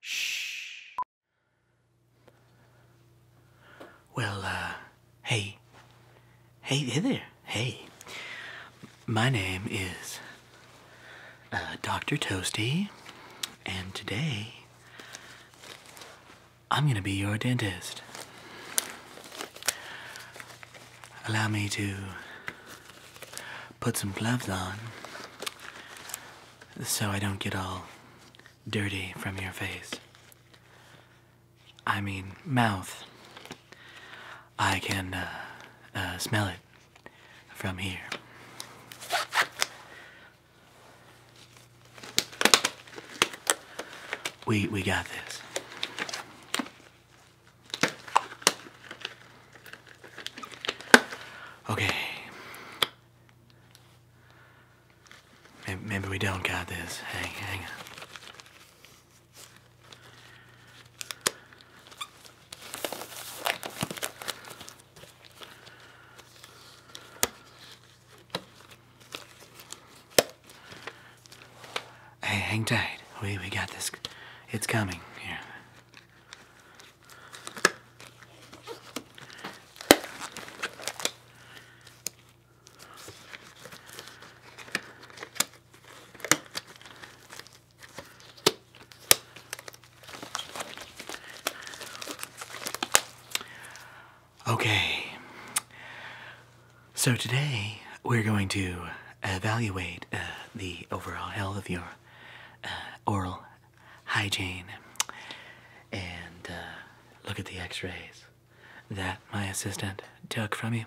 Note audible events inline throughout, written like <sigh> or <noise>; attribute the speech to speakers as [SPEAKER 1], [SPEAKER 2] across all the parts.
[SPEAKER 1] Shh. Well, uh, hey. Hey, hey there. Hey. My name is uh, Dr. Toasty, and today I'm gonna be your dentist. Allow me to put some gloves on so I don't get all dirty from your face. I mean, mouth. I can uh, uh, smell it from here. We, we got this. Okay. Maybe we don't got this. Hang, hang Hey, hang tight. We, we got this. It's coming. Here. Okay, so today we're going to evaluate uh, the overall health of your uh, oral hygiene. And uh, look at the x-rays that my assistant took from you,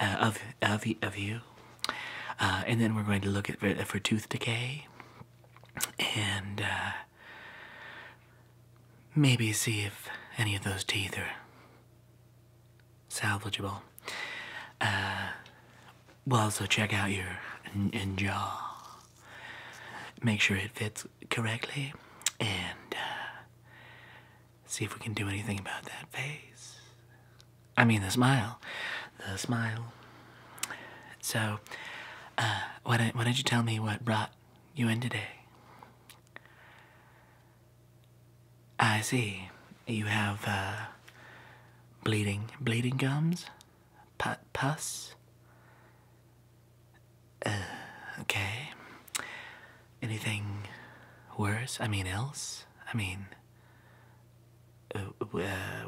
[SPEAKER 1] uh, of, of, of you. and then we're going to look at for, for tooth decay and maybe see if any of those teeth are salvageable. Uh, well, so check out your jaw. Make sure it fits correctly, and uh, see if we can do anything about that face. I mean, the smile, the smile. So, uh, why do why don't you tell me what brought you in today? I see. You have uh, bleeding, bleeding gums, pus. Uh, okay. Anything worse? I mean, else? I mean, uh,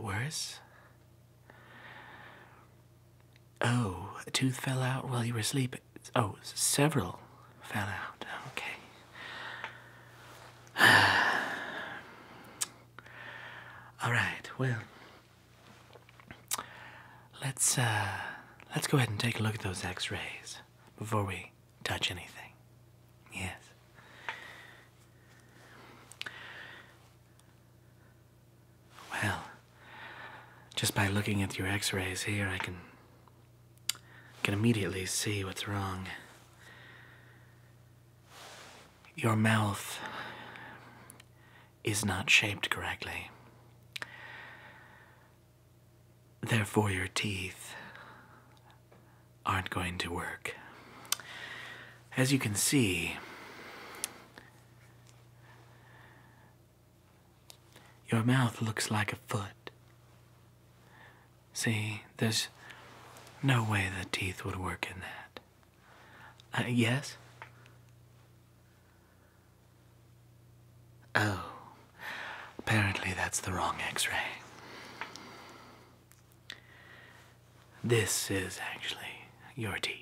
[SPEAKER 1] worse? Oh, a tooth fell out while you were sleeping. Oh, several fell out. Okay. <sighs> All right, well, let's uh, let's go ahead and take a look at those X-rays before we touch anything. Yes. Well, just by looking at your X-rays here, I can can immediately see what's wrong. Your mouth is not shaped correctly. Therefore, your teeth aren't going to work. As you can see, your mouth looks like a foot. See, there's no way the teeth would work in that. Uh, yes? Oh, apparently that's the wrong x ray. This is actually your teeth.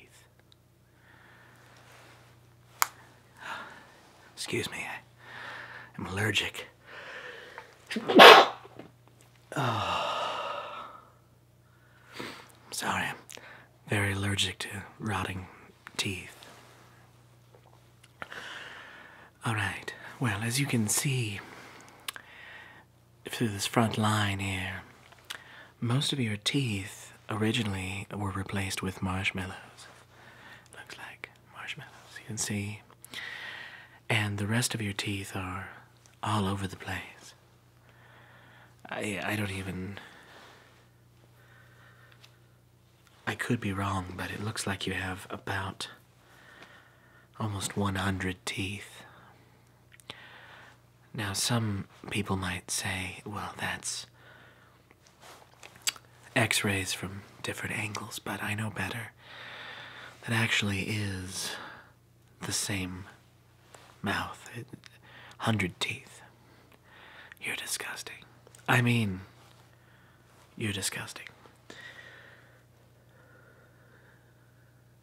[SPEAKER 1] Excuse me, I am allergic oh. <sighs> Sorry, I'm very allergic to rotting teeth. Alright, well, as you can see through this front line here, most of your teeth originally were replaced with marshmallows. Looks like marshmallows, you can see. And the rest of your teeth are all over the place. I, I don't even. I could be wrong, but it looks like you have about almost 100 teeth. Now, some people might say, well, that's x rays from different angles, but I know better. That actually is the same mouth, hundred teeth. You're disgusting. I mean, you're disgusting.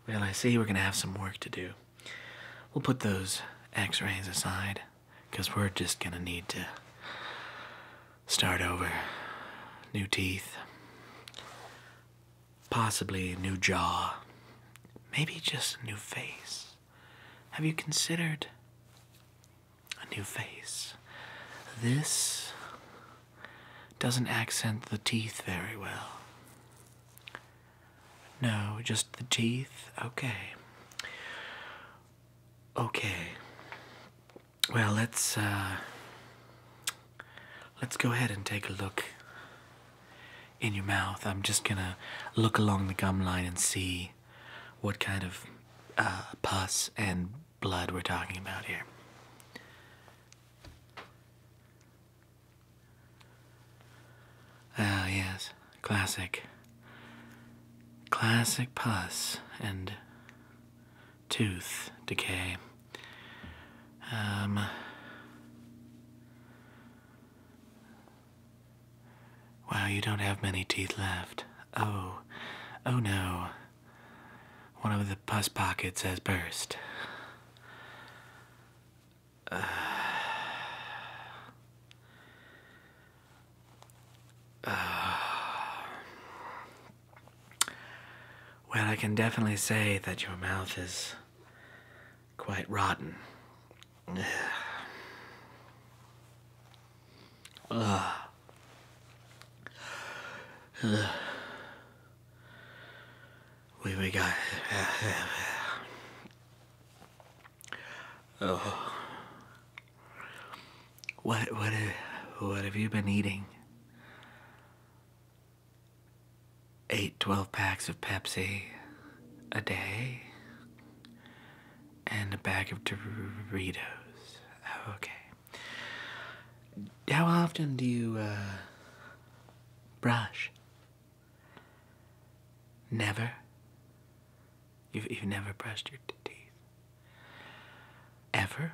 [SPEAKER 1] Well, I see we're gonna have some work to do. We'll put those x rays aside because we're just gonna need to start over. New teeth, possibly new jaw, maybe just a new face. Have you considered a new face? This doesn't accent the teeth very well. No, just the teeth? Okay. Okay. Well, let's uh, let's go ahead and take a look in your mouth. I'm just gonna look along the gum line and see what kind of uh, pus and blood we're talking about here. Ah, yes classic, classic pus and tooth decay. Um, wow, you don't have many teeth left. Oh, oh no. One of the pus pockets has burst well, I can definitely say that your mouth is quite rotten. We we got. Oh. What what what have you been eating? Eight twelve packs of Pepsi a day and a bag of Doritos. Okay. How often do you uh, brush? Never. You've, you never brushed your teeth. Ever?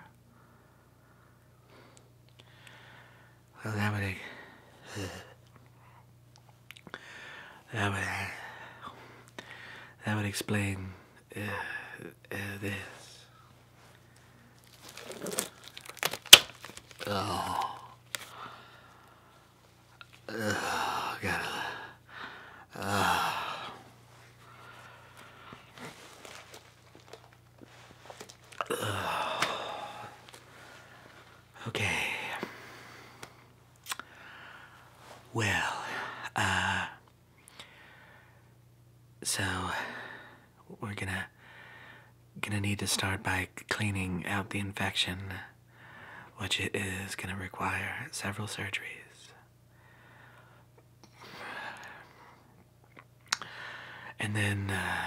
[SPEAKER 1] Well, that would. that would. that would explain uh, uh, this. Oh. Uh, God. Uh. Okay. Well, uh, so we're gonna gonna need to start by cleaning out the infection which it is going to require several surgeries. And then, uh,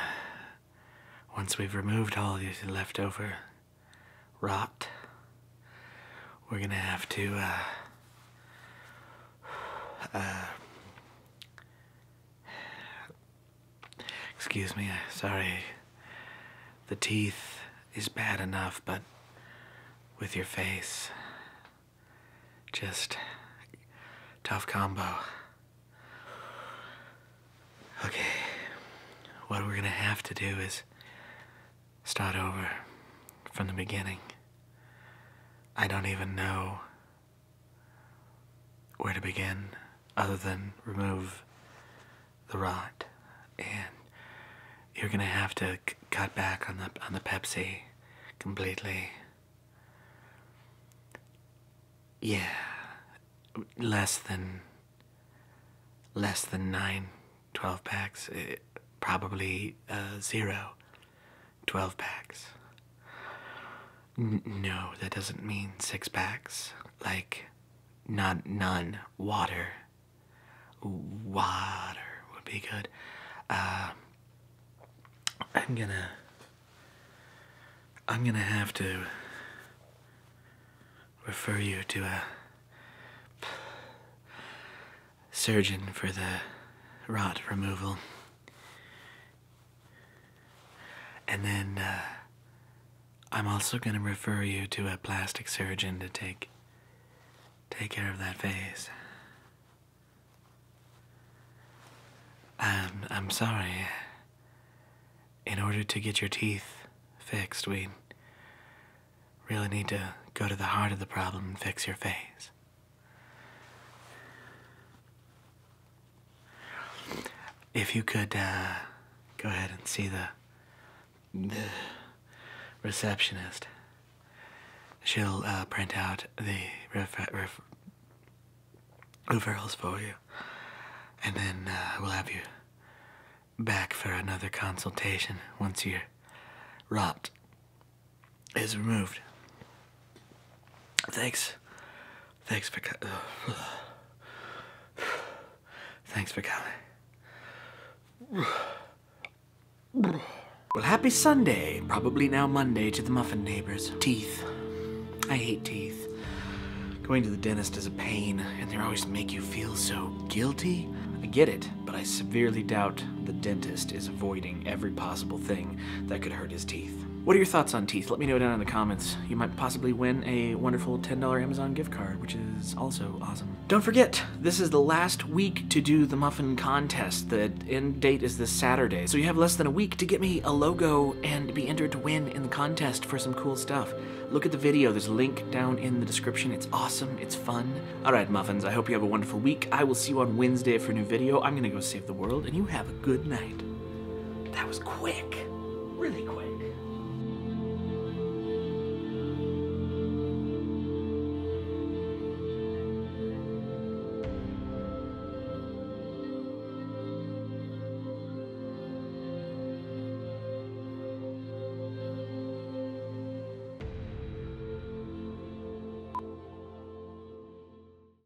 [SPEAKER 1] once we've removed all the leftover rot, we're going to have to. Uh, uh, Excuse me, uh, sorry. The teeth is bad enough, but with your face, just tough combo. Okay, what we're gonna have to do is start over from the beginning. I don't even know where to begin other than remove the rot, and you're gonna have to cut back on the on the Pepsi completely. Yeah, less than less than nine, twelve packs, probably uh, zero, twelve packs. no, that doesn't mean six packs. Like, not none. Water. Water would be good. Uh, I'm gonna. I'm gonna have to refer you to a surgeon for the rot removal. And then uh, I'm also going to refer you to a plastic surgeon to take take care of that face. Um, I'm sorry. In order to get your teeth fixed, we really need to go to the heart of the problem and fix your face. If you could uh, go ahead and see the, receptionist, she'll uh, print out the ref- referrals for you, and then uh, we'll have you back for another consultation once your ROPT is removed. Thanks Thanks for coming. <sighs> Thanks for coming. Well, happy Sunday. Probably now Monday to the muffin neighbors. Teeth. I hate teeth. Going to the dentist is a pain, and they always make you feel so guilty. I get it, but I severely doubt the dentist is avoiding every possible thing that could hurt his teeth. What are your thoughts on teeth? Let me know down in the comments. You might possibly win a wonderful $10 Amazon gift card, which is also awesome. Don't forget, this is the last week to do the muffin contest. The end date is this Saturday, so you have less than a week to get me a logo and be entered to win in the contest for some cool stuff. Look at the video, there's a link down in the description. It's awesome, it's fun. All right, muffins, I hope you have a wonderful week. I will see you on Wednesday for a new video. I'm gonna go save the world, and you have a good night. That was quick, really quick.